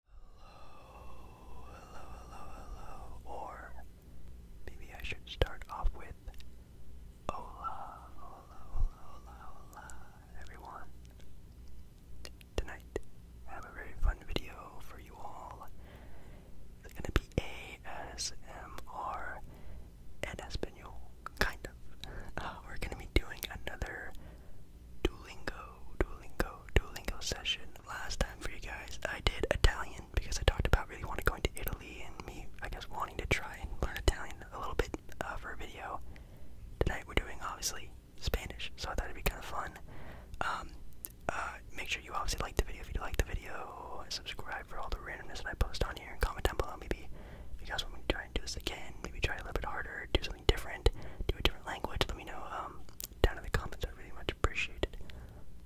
Hello, hello, hello, hello. Or maybe I should start off with hola, hola, hola, hola, hola, everyone. Tonight, have a very fun video for you all. It's gonna be ASMR in Espanol, kind of. we're gonna be doing another Duolingo, Duolingo, Duolingo session. Last time for you guys, I did Italian because I talked about really wanting to go into Italy and me, I guess, wanting to try and learn Italian a little bit uh, for a video. Tonight we're doing, obviously, Spanish, so I thought it'd be kind of fun. Um, uh, make sure you obviously like the video if you like the video, subscribe for all the randomness that I post on here, and comment down below maybe if you guys want me to try and do this again, maybe try a little bit harder, do something do a different language, let me know um, down in the comments. I really much appreciate it.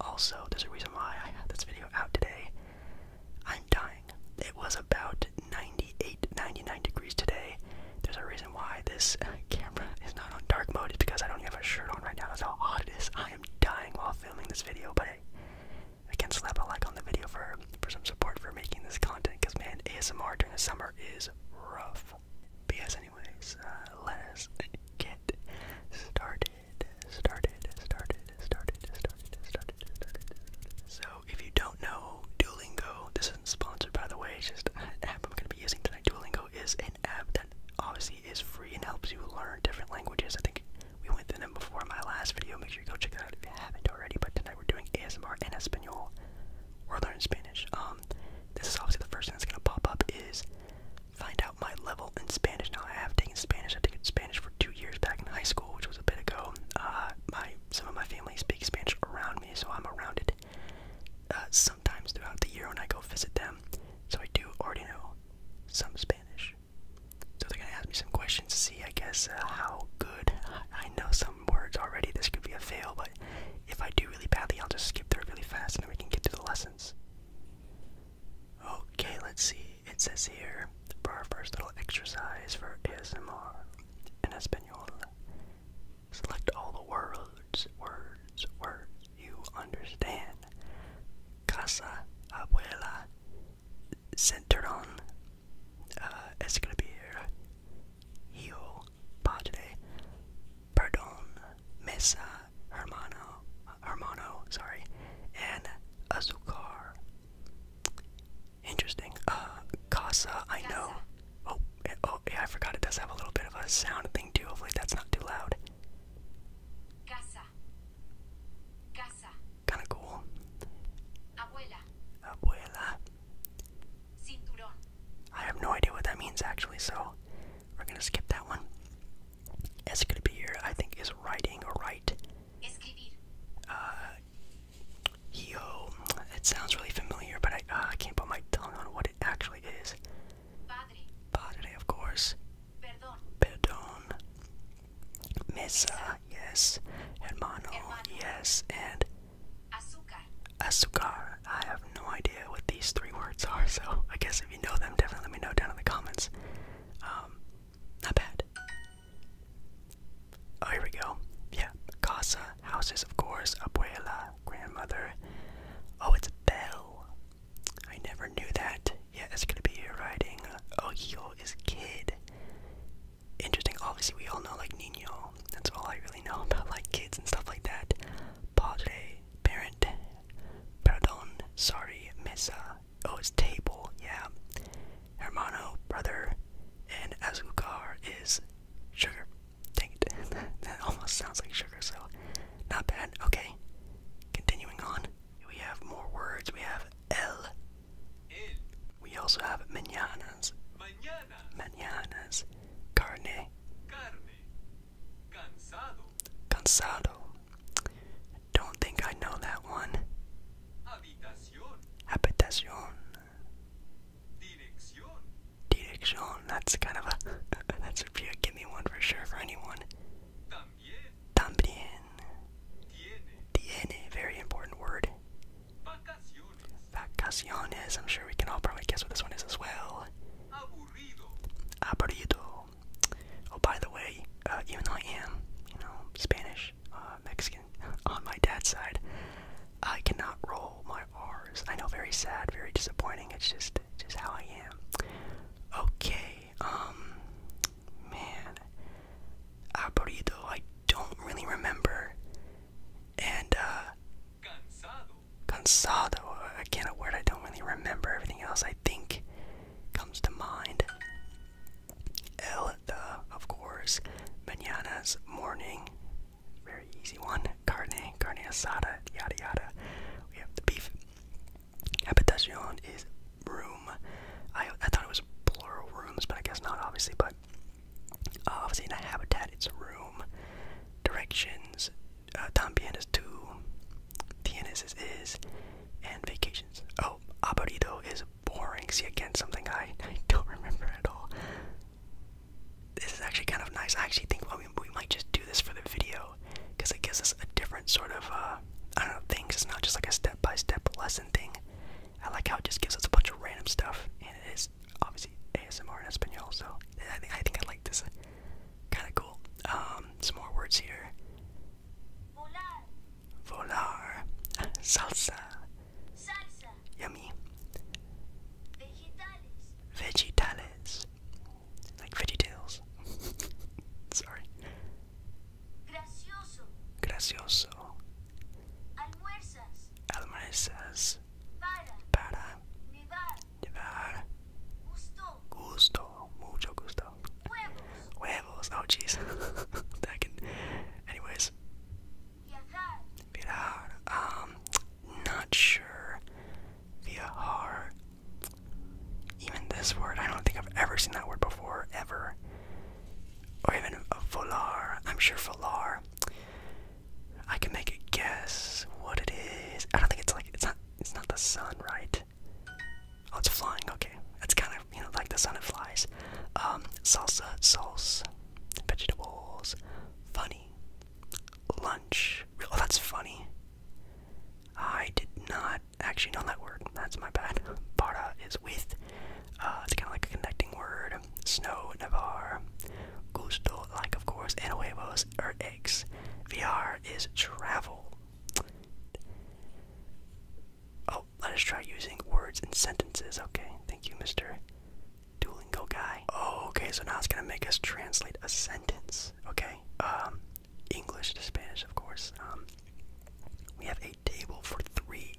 Also, there's a reason why I had this video out today. I'm dying. It was about 98, 99 degrees today. There's a reason why this camera is not on dark mode. It's because I don't have a shirt on right now. how hot it is. I am dying while filming this video, but I can slap a like on the video for for some support for making this content. Because man, ASMR during the summer is rough. But yes, anyways, uh, let us get started. Started, started, started, started, started, started. So, if you don't know, Duolingo, this isn't sponsored by the way, it's just an app I'm going to be using tonight. Duolingo is an app that obviously is free and helps you learn different languages. I think we went through them before in my last video. Make sure you go check it out if you haven't already. But tonight we're doing ASMR in Espanol or learn Spanish. Um, this is obviously the first thing that's gonna pop up is find out my level in Spanish. Now I have taken Spanish. I took Spanish for two years back in high school, which was a bit ago. Uh, my some of my family speak Spanish around me, so I'm around it uh, sometimes throughout the year when I go visit them. So I do already know some Spanish. So they're gonna ask me some questions to see, I guess, uh, how good I know some words already. This could be a fail, but if I do really badly, I'll just skip through really fast and then we can get to the lessons. Okay, let's see. It says here for our first little exercise for ASMR in Espanol. Select all the words, words, words you understand. Casa, abuela, centron. Uh, it's gonna be here hijo, padre, perdón, mesa, uh, hermano, hermano, sorry, and azúcar. Interesting. Uh, casa, I know. Oh, eh, oh, yeah, I forgot it does have a little bit of a sound thing too. Hopefully that's not too loud. Casa. Casa. Kinda cool. Abuela. I have no idea what that means actually, so we're gonna skip that one. Es here, I think, is writing or write. Uh, yo, it sounds really familiar, but I uh, I can't put my tongue on what it actually is. Padre, Padre of course. Perdón. Perdón. yes. Hermano, Hermano, yes. And Azúcar. Azúcar. I have no idea what these three words are, so I guess if you know them, definitely let me know down in the comments. Um, not bad. Oh, here we go. Yeah, casa, houses, of course, abuela, grandmother. Oh, it's bell. I never knew that. Yeah, it's gonna be writing. Uh, oh, Ogio is kid interesting. Obviously, we all know like Nino. That's all I really know about like kids and stuff like that. Padre, parent, perdón, sorry, mesa. Oh, it's table. Yeah. Hermano, brother, and azúcar is sugar. Dang it, that almost sounds like sugar. So, not bad. Okay. Continuing on, we have more words. We have el. We also have mañanas mañanas, carne, cansado. Don't think I know that one. Habitación. Dirección. That's kind of a that's give me one for sure for anyone. También. Tiene. Very important word. Vacaciones. I'm sure we can all probably guess what this one is as well. Aburrido. Oh, by the way, uh, even though I am, you know, Spanish, uh, Mexican, on my dad's side, I cannot roll my R's. I know, very sad, very disappointing. It's just, just how I am. Okay, um, man, aburrido. I don't really remember and uh, cansado. Again, a word I don't really remember. Everything else I think comes to mind. El, the, of course. Mañana's morning. Very easy one. Carne, carne asada, yada yada. We have the beef. Habitacion is room. I, I thought it was plural rooms, but I guess not, obviously. But uh, obviously, in a habitat, it's room. Directions, uh, Tambien two, Tienes is is, and vacations. Oh, aburrido is boring. See, again, something I, I don't remember at all. This is actually kind of nice. I actually think well, we, we might just do this for the video because it gives us a different sort of, uh, I don't know, things. It's not just like a step by step lesson thing. I like how it just gives us a bunch of random stuff and it is obviously ASMR in Espanol, so I think I, think I like this. Kind of cool. Um, some more words here. Volar. Salsa. Yummy. Vegetales. Like veggie Sorry. Gracioso. Almuerzas. Almuerzas. Para. Para. Llevar. Gusto. Gusto. Mucho gusto. Huevos. Huevos. Oh, jeez. Anyways. Viajar. Viajar. Um, not sure. Viajar. Even this word, I don't think I've ever seen that word before, ever. Or even volar. I'm sure volar I can make a guess what it is. I don't think it's like it's not it's not the sun, right? Oh, it's flying. Okay, it's kind of you know like the sun. It flies. Um, salsa, sauce, vegetables, funny, lunch. Oh, that's funny. I did not actually know that word. That's my bad. Para is with. Uh, it's kind of like a connecting word. Snow, Navarre. Gusto, like of course, and huevos are eggs. VR is travel. Oh, let us try using words and sentences. Okay, thank you, Mr. Duolingo guy. Oh, okay, so now it's gonna make us translate a sentence. Okay, um, English to Spanish, of course. Um, we have a table for three.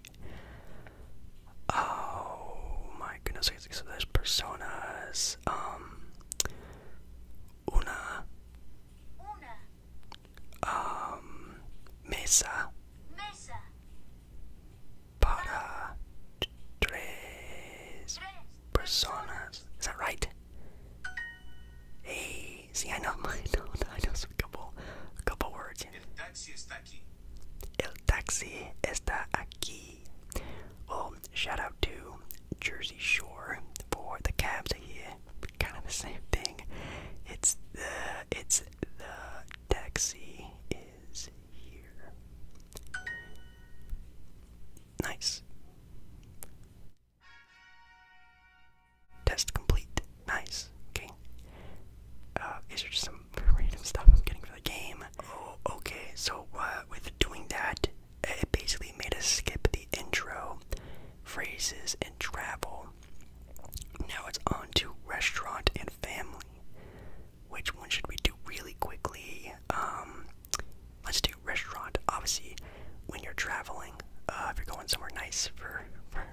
Oh my goodness, so there's personas. Um, una. Um, mesa. Para tres personas. Is that right? Hey, see, I know, I know, I know some couple, a couple words. El taxi está aquí. Well, oh, shout out to Jersey Shore for the cabs here. Kind of the same thing. It's the it's the taxi is here. Nice. Test complete nice. Okay. Uh, these are just some random stuff I'm getting for the game. Oh, okay. So uh, with doing that, it basically made us skip the intro, phrases, and travel. Now it's on to restaurant and family. Which one should we do really quickly? Um, let's do restaurant. Obviously, when you're traveling, uh, if you're going somewhere nice for,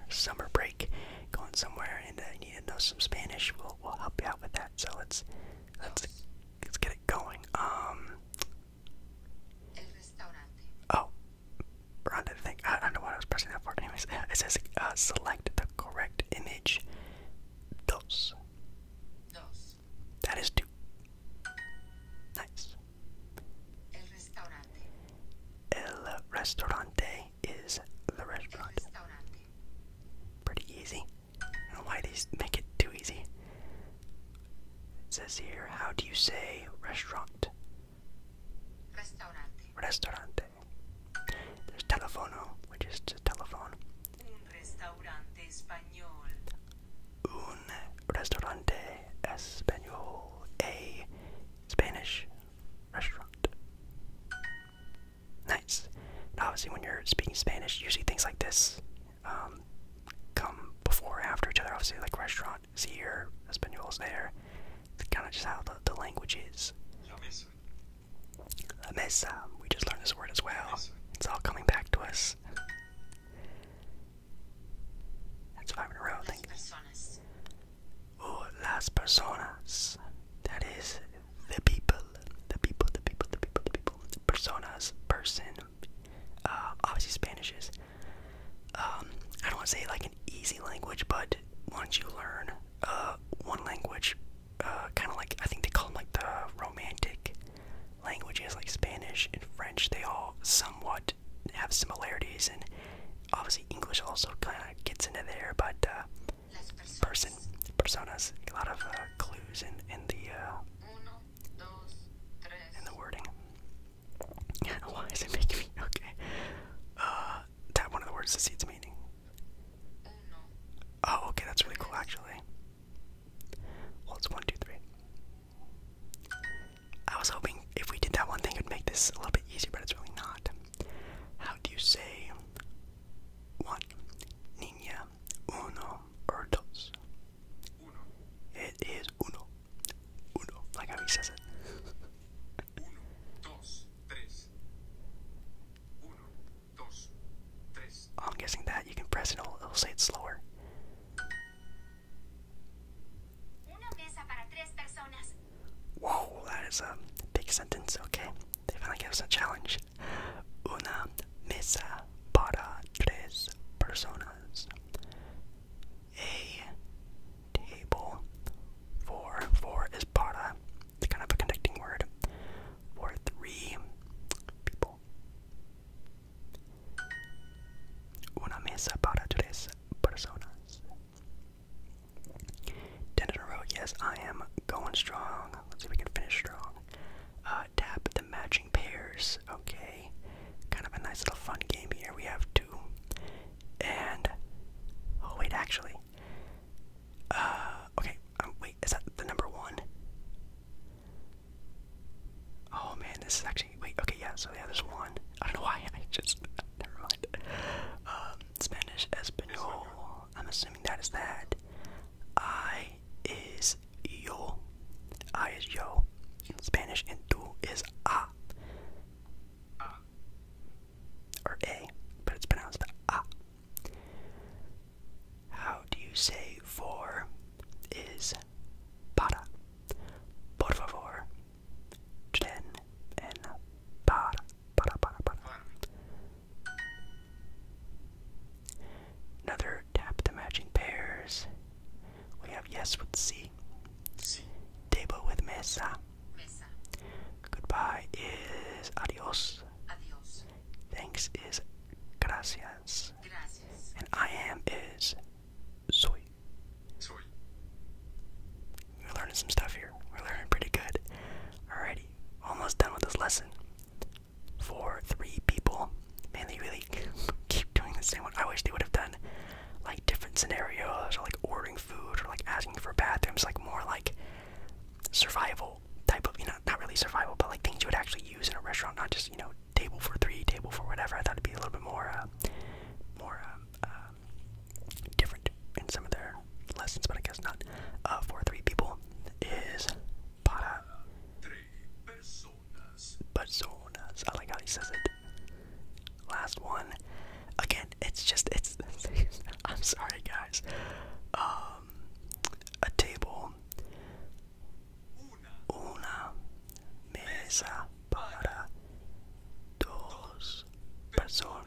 summer break, going somewhere and uh, need to know some Spanish, we'll we'll help you out with that. So let's let's let's get it going. Um, oh, wrong to I don't know what I was pressing that for. Anyways, it says uh, select the correct image. Dos. That is two. Nice. El restaurante is the restaurant. Pretty easy. I don't why they make it too easy. It says here, how do you say restaurant? Restaurante. There's telefono, which is a telephone. Un restaurante español. Un restaurante español. A Spanish restaurant. Nice. obviously, when you're speaking Spanish, you see things like this um, come before after each other. Obviously, like restaurant is here, Espanol is there. It's kind of just how the, language is. La mesa. We just learned this word as well. It's all coming back to us. That's five in a row, I think o las personas. That is the people, the people, the people, the people, the people, personas, person. Uh, obviously, Spanish is. Um, I don't want to say like an easy language, but once you learn uh, one language, uh, kind of like I think they call them like the romantic languages, like Spanish and French. They all somewhat have similarities, and obviously English also kind of gets into there. But uh, person, personas, a lot of uh, clues in in the uh, in the wording. Why is it making me okay? Uh, that one of the words to see its meaning. Oh, okay, that's really cool actually. Well, it's one, two, three. I was hoping if we did that one thing, it would make this a little bit easier, but it's really not. How do you say one? Niña, uno, dos? Uno. It is uno. Uno, like how he says it. uno, dos, oh, I'm guessing that you can press it, it it'll say it slower. Whoa, that is a big sentence, okay? They finally gave us a challenge. Una mesa para tres personas. A table for, four is para, it's kind of a connecting word, for three people. Una mesa para tres personas. Ten in a row. Yes, I am going strong. Let's see if we can finish strong. Uh, tap the matching pairs. Okay, kind of a nice little fun game here. We have two, and oh wait, actually, uh, okay. Um, wait, is that the number one? Oh man, this is actually wait, okay, yeah, so yeah, there's one. I don't know why, I just, never mind. Um, Spanish, Espanol, I'm assuming that is that. I is yo. I is yo. Spanish, and tú is ah. Or a, but it's pronounced ah. How do you say for is para? Por favor Jen en par, para, para, para. Another tap the matching pairs. We have yes with C. Table with mesa. Goodbye is adios. Adios. Thanks is gracias. Gracias. And I am is Soy. Soy. We're learning some stuff here. We're learning pretty good. Alrighty, almost done with this lesson. For three people, and they really keep doing the same one. I wish they would have done like different scenarios, or like ordering food, or like asking for bathrooms, like more like survival type of, you know, not really survival, but like things you would actually use in a restaurant, not just you know table for three, table for whatever. I thought it'd be a little bit more, uh, more um, uh, different in some of their lessons, but I guess not. Uh, for three people is para personas. I like how he says it. Last one. Again, it's just it's. I'm sorry, guys. Um, a table. Una mesa para dos personas.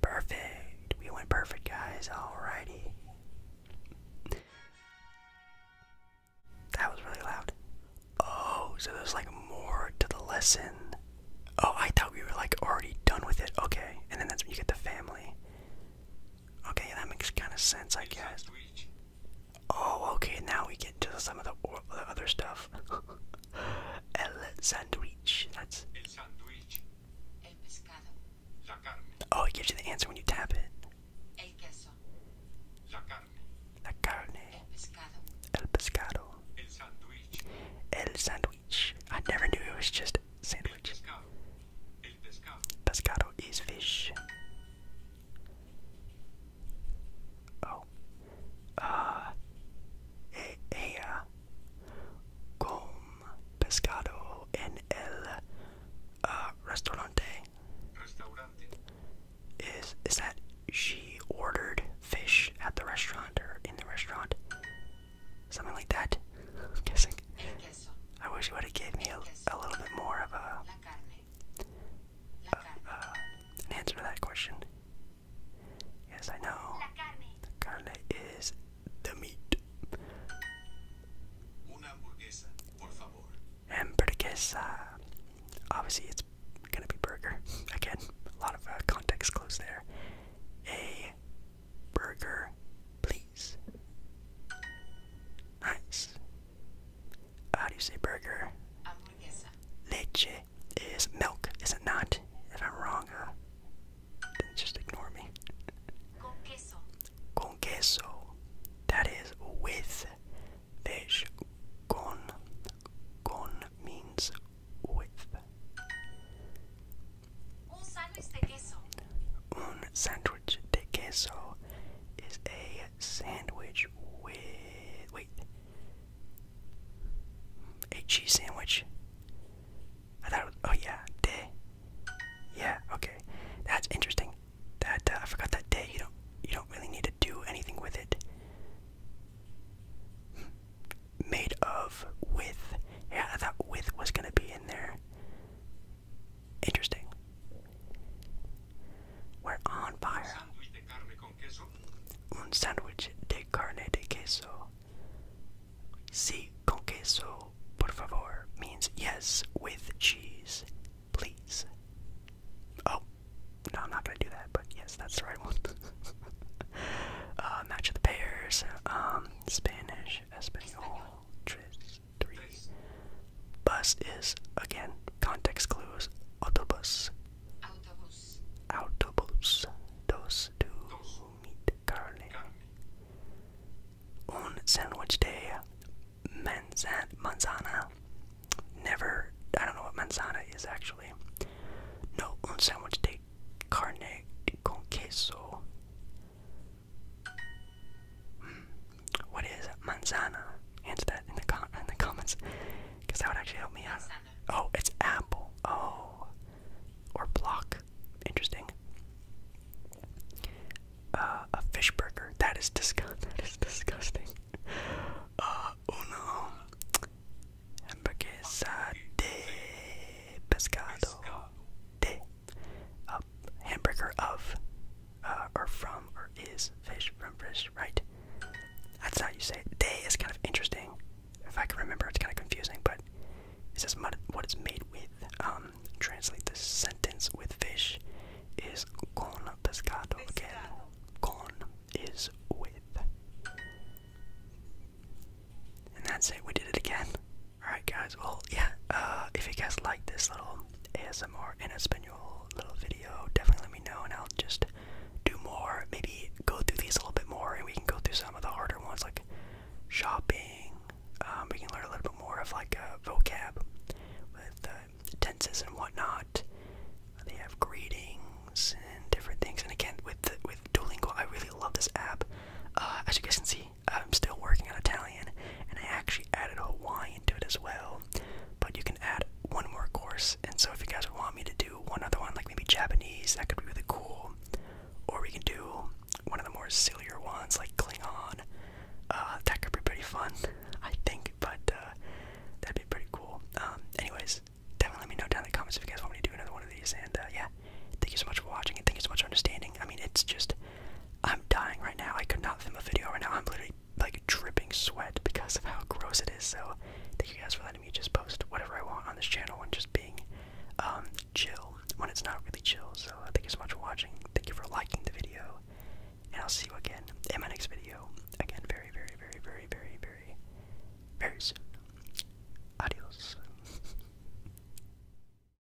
Perfect. We went perfect, guys. Alrighty. That was really loud. Oh, so there's like more to the lesson. Oh, I thought we were like already done with it. Okay, and then that's when you get the family. Okay, that makes kind of sense, I guess. Oh, okay, now we get to some of the, other stuff. El sandwich. That's. El sandwich. Oh, it gives you the answer when you tap it. El La carne. La carne. El pescado. El pescado. El sandwich. I never knew it was just sandwich. Pescado is fish. Oh. Uh. ella. Con pescado en el uh, Restaurante. Is is that she ordered fish at the restaurant or in the restaurant? Something like that. I'm guessing. I wish you would have gave me a, a little bit more of a an answer to that question. Yes, I know. The carne is the meat. Una hamburguesa, Obviously, it's gonna be burger. Again, a lot of uh, context clues there. A burger, please. Nice. How do you say burger? Leche is milk, is it not? If I'm wrong, uh, then just ignore me. Con queso. Con queso. That is with fish. Con. Con means with. Un sandwich de queso. Un sandwich sandwich queso is a sandwich with. Wait. A cheese sandwich? I thought Oh, yeah. De. Yeah, okay. That's interesting. That uh, I forgot that day. You don't you don't really need to do anything with it. Made of with. Yeah, I thought with was gonna be in there. Interesting. We're on fire. Un sándwich de carne de queso. Si con queso, por favor, means yes with cheese, please. Oh, no, I'm not gonna do that, but yes, that's the right one. Uh, match of the pairs. Um, Spanish, Espanol, Tris, Bus is, again, context clues. Autobus. Autobus. Autobus. Dos to dos. meat carne. Un sandwich day. Manzan manzana. Never. I don't know what manzana is actually. No, un sandwich de carne con queso. What is manzana? Answer that in the com in the comments, because that would actually help me out. Oh, it's apple. Oh, or block. Interesting. Uh, a fish burger. That is disgust. That is disgusting. Uh, uno. Hamburguesa de pescado. De a hamburger of, uh, or from, or is fish from fish, right? That's how you say Day is kind of interesting. If I can remember, it's kind of confusing, but it says what it's made with. Um, translate the sentence with fish is con pescado again. Con is with. And that's it, we did it again. Alright, guys, well, yeah, uh, if you guys like this little ASMR and in Espanol little video, definitely let me know and I'll just do more. Maybe go through these a little bit more and we can go through some of the harder ones like shopping. Um, we can learn a little bit more of like uh, vocab with uh, tenses and whatnot. They have greetings and different things. And again, with with Duolingo, I really love this app. Uh, as you guys can see, I'm still working on Italian, and I actually added Hawaiian to it as well. But you can add one more course, and so if you guys want me to do one other one, like maybe Japanese, that could be really cool. Or we can do one of the more sillier ones, like Klingon. Uh, that could be pretty fun, I think. But uh, that'd be pretty cool. Um, anyways, definitely let me know down in the comments if you guys want me to do another one of these. And uh, yeah, thank you so much for watching, and thank you so much for understanding. I mean, it's just I'm dying right now. I could not film a video right now. I'm literally like dripping sweat because of how gross it is. So thank you guys for letting me just post whatever I want on this channel and just being um, chill when it's not really chill. So uh, thank you so much for watching. Thank you for liking the video, and I'll see you again in my next video. Again, very, very, very, very, very, very, very soon. Adios.